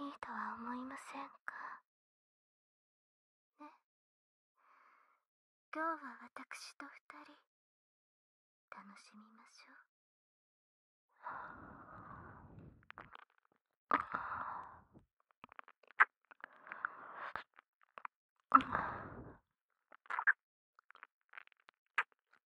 いいとは思いませんかね今日は私と二人楽しみましょう。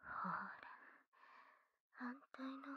ほら反対の耳も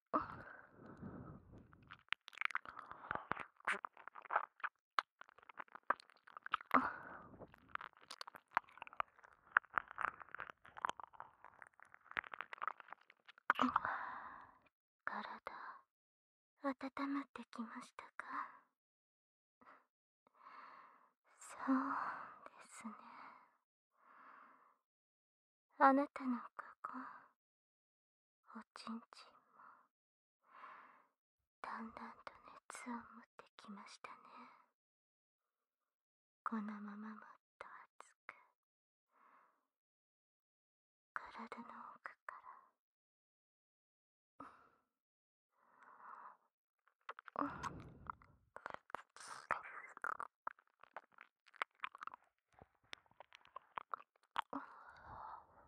んっ、体温まってきましたかそうですねあなたのここおちんちんもだんだんと熱を持ってきましたねこのままもっと熱く体の奥からん、うん。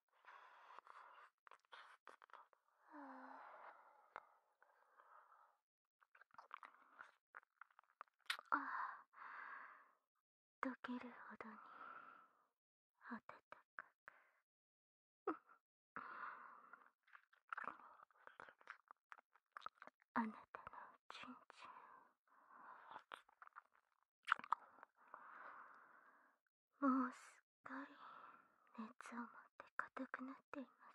は溶けるほどに温かくあなたのちんちんもうすっかり熱を持って硬くなっています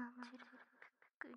我慢汁ぷくり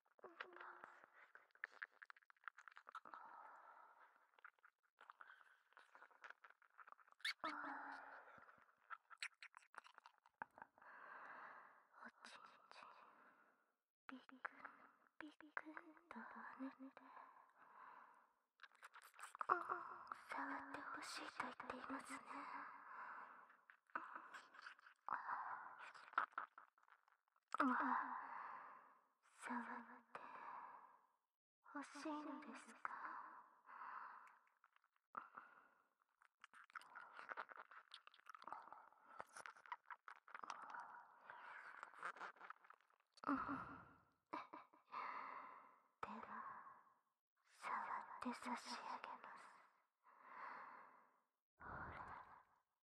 ちんちびびビびびビッグだね触ってほしいと言っていますねっ、まあ触って欲しいのですかん手は触って差し上げますほら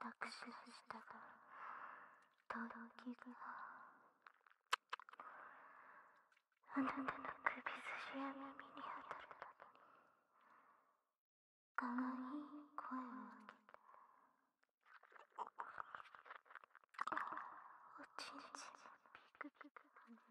握手したらとろきがあなたの首筋や耳に当たるかわいい声を上げておちんちんピクピク跳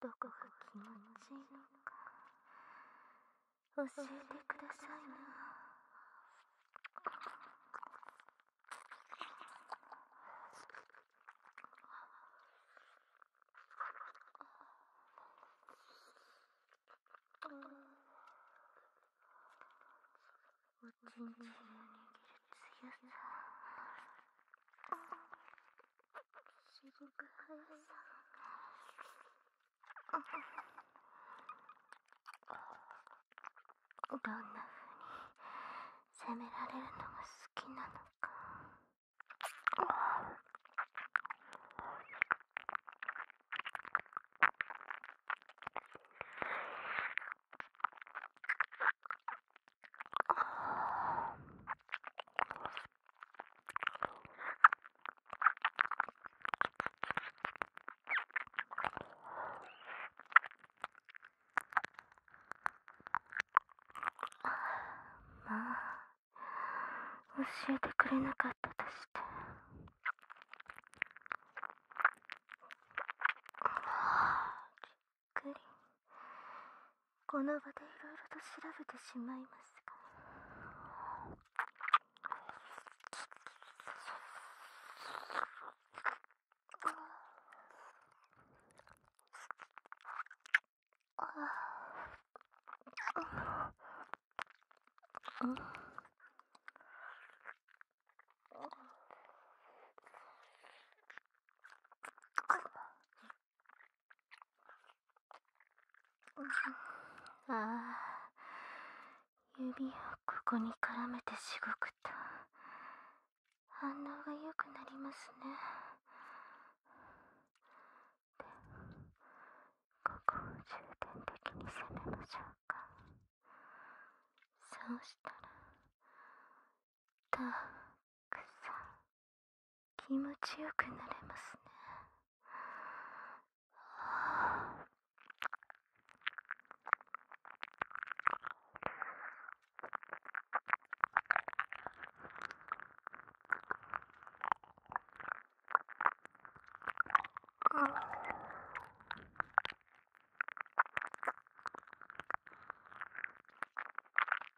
どこが気持ちいいのか教えてくださいなおちんちんを握る強さ沈む速さどんな風に責められるのが好きなのかまあ教えてくれなかったとしてはびっくり。この場でいろいろと調べてしまいますがああ指をここに絡めてしごくと反応がよくなりますねでも、ここを重点的に攻めましょうかそうしたらたっくさん気持ちよくなれますね。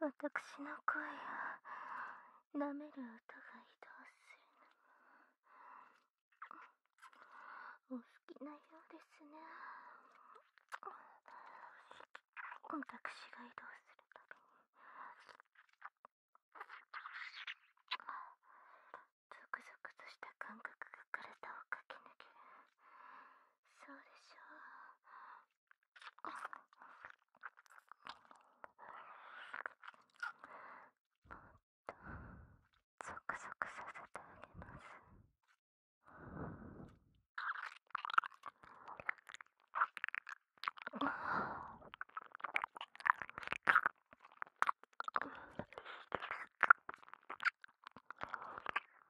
わたくしの声を舐める音が移動するのもお好きなようですねわたくしが移動するたびにゾクゾクとした感覚が体を駆け抜けるそうでしょうゾクゾクさせてあげます。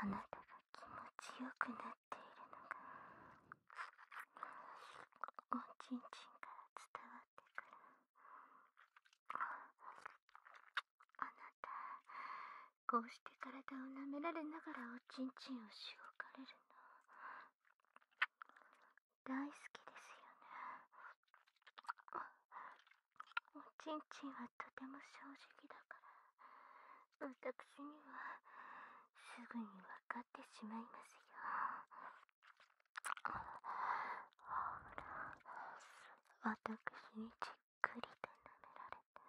あなたが気持ちよくなっているのがおちんちんから伝わってくるあなたこうして体を舐められながらおちんちんをしごかれるの大好きですよねおちんちんはとても正直だから私にはすぐに分かってしまいますよほら私にじっくりと舐められて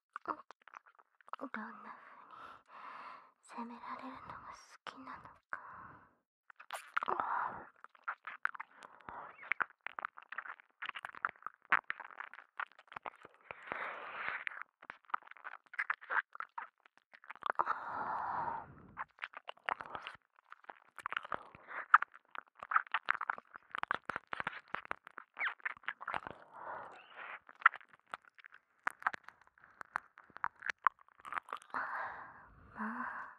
どんな風に責められるのが好きなのか。まあ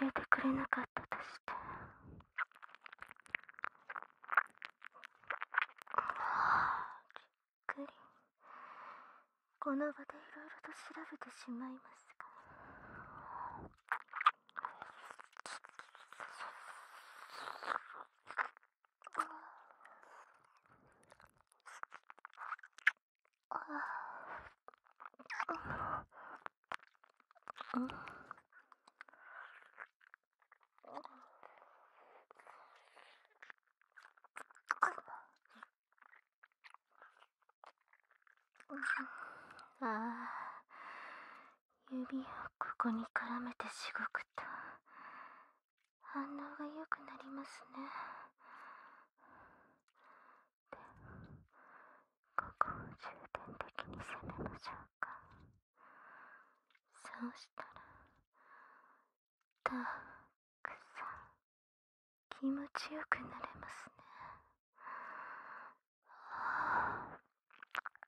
教えてくれなかったとしてびっくりこの場でいろいろと調べてしまいますがああ指をここに絡めてしごくと反応がよくなりますねでここを重点的に攻めましょうかそうしたらたくさん気持ちよくなれますね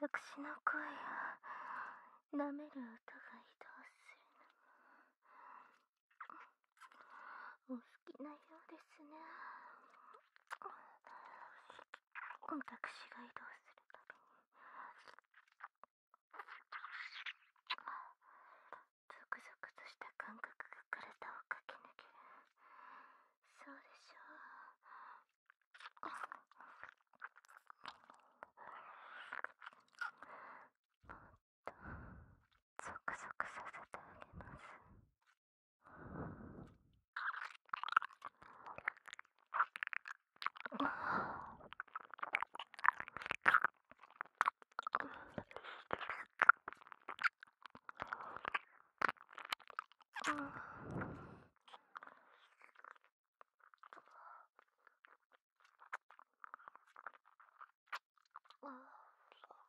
私の声を舐める音が移動するの…お好きなようですね私が移動するたびにゾクゾクとした感覚が体を駆け抜けるそうでしょうとゾクゾクさせてあげますん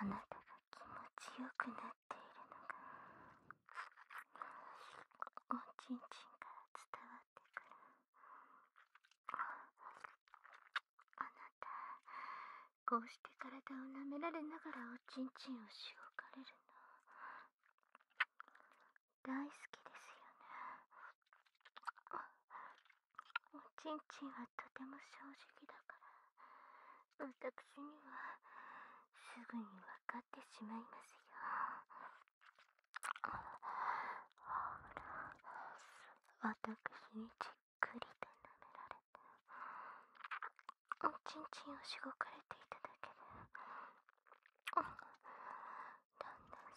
あなたが気持ちよくなっているのがおちんちんから伝わってくるあなたこうして体を舐められながらおちんちんをしごかれるの大好きですよねおちんちんはとても正直だからわたくしにはすぐにわかってしまいますよほらしにじっくりと舐められておちんちんをしごかれていただけでだんだん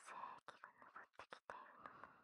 精液が上ってきているの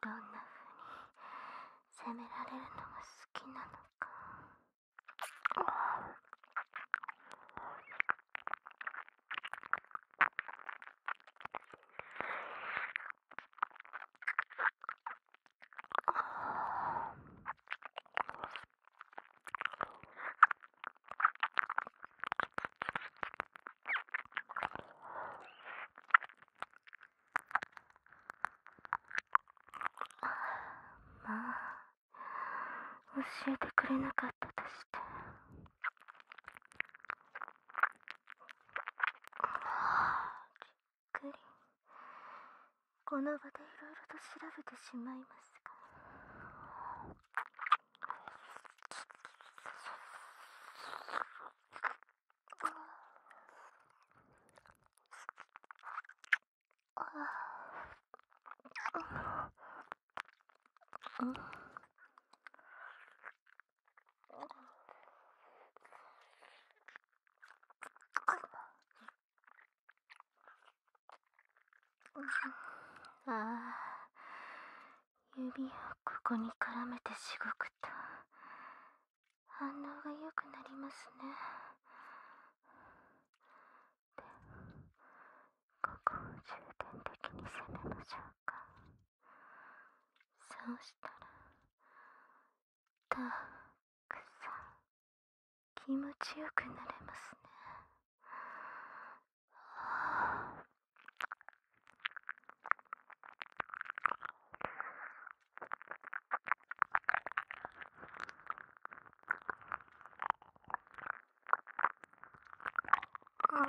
どんな風に責められるのが好きなのか。まあ教えてくれなかったとしてっくりこの場でいろいろと調べてしまいますがああ指をここに絡めてしごくと反応がよくなりますねでは、ここを重点的に攻めましょうか。そうしたらたくさん気持ちよくなれますねん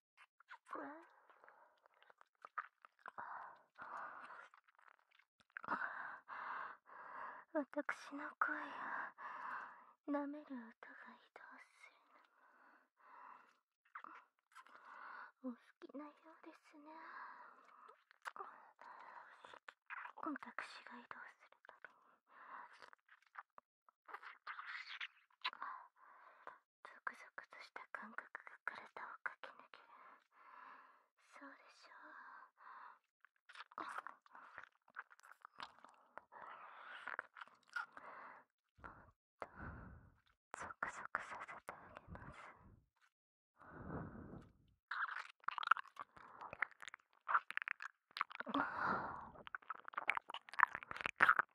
わたくしの声を舐める音が移動するのもお好きなようですね私が移動するたびにゾクゾクとした感覚が体を駆け抜けるそうでしょうもっとゾクゾクさせてあげます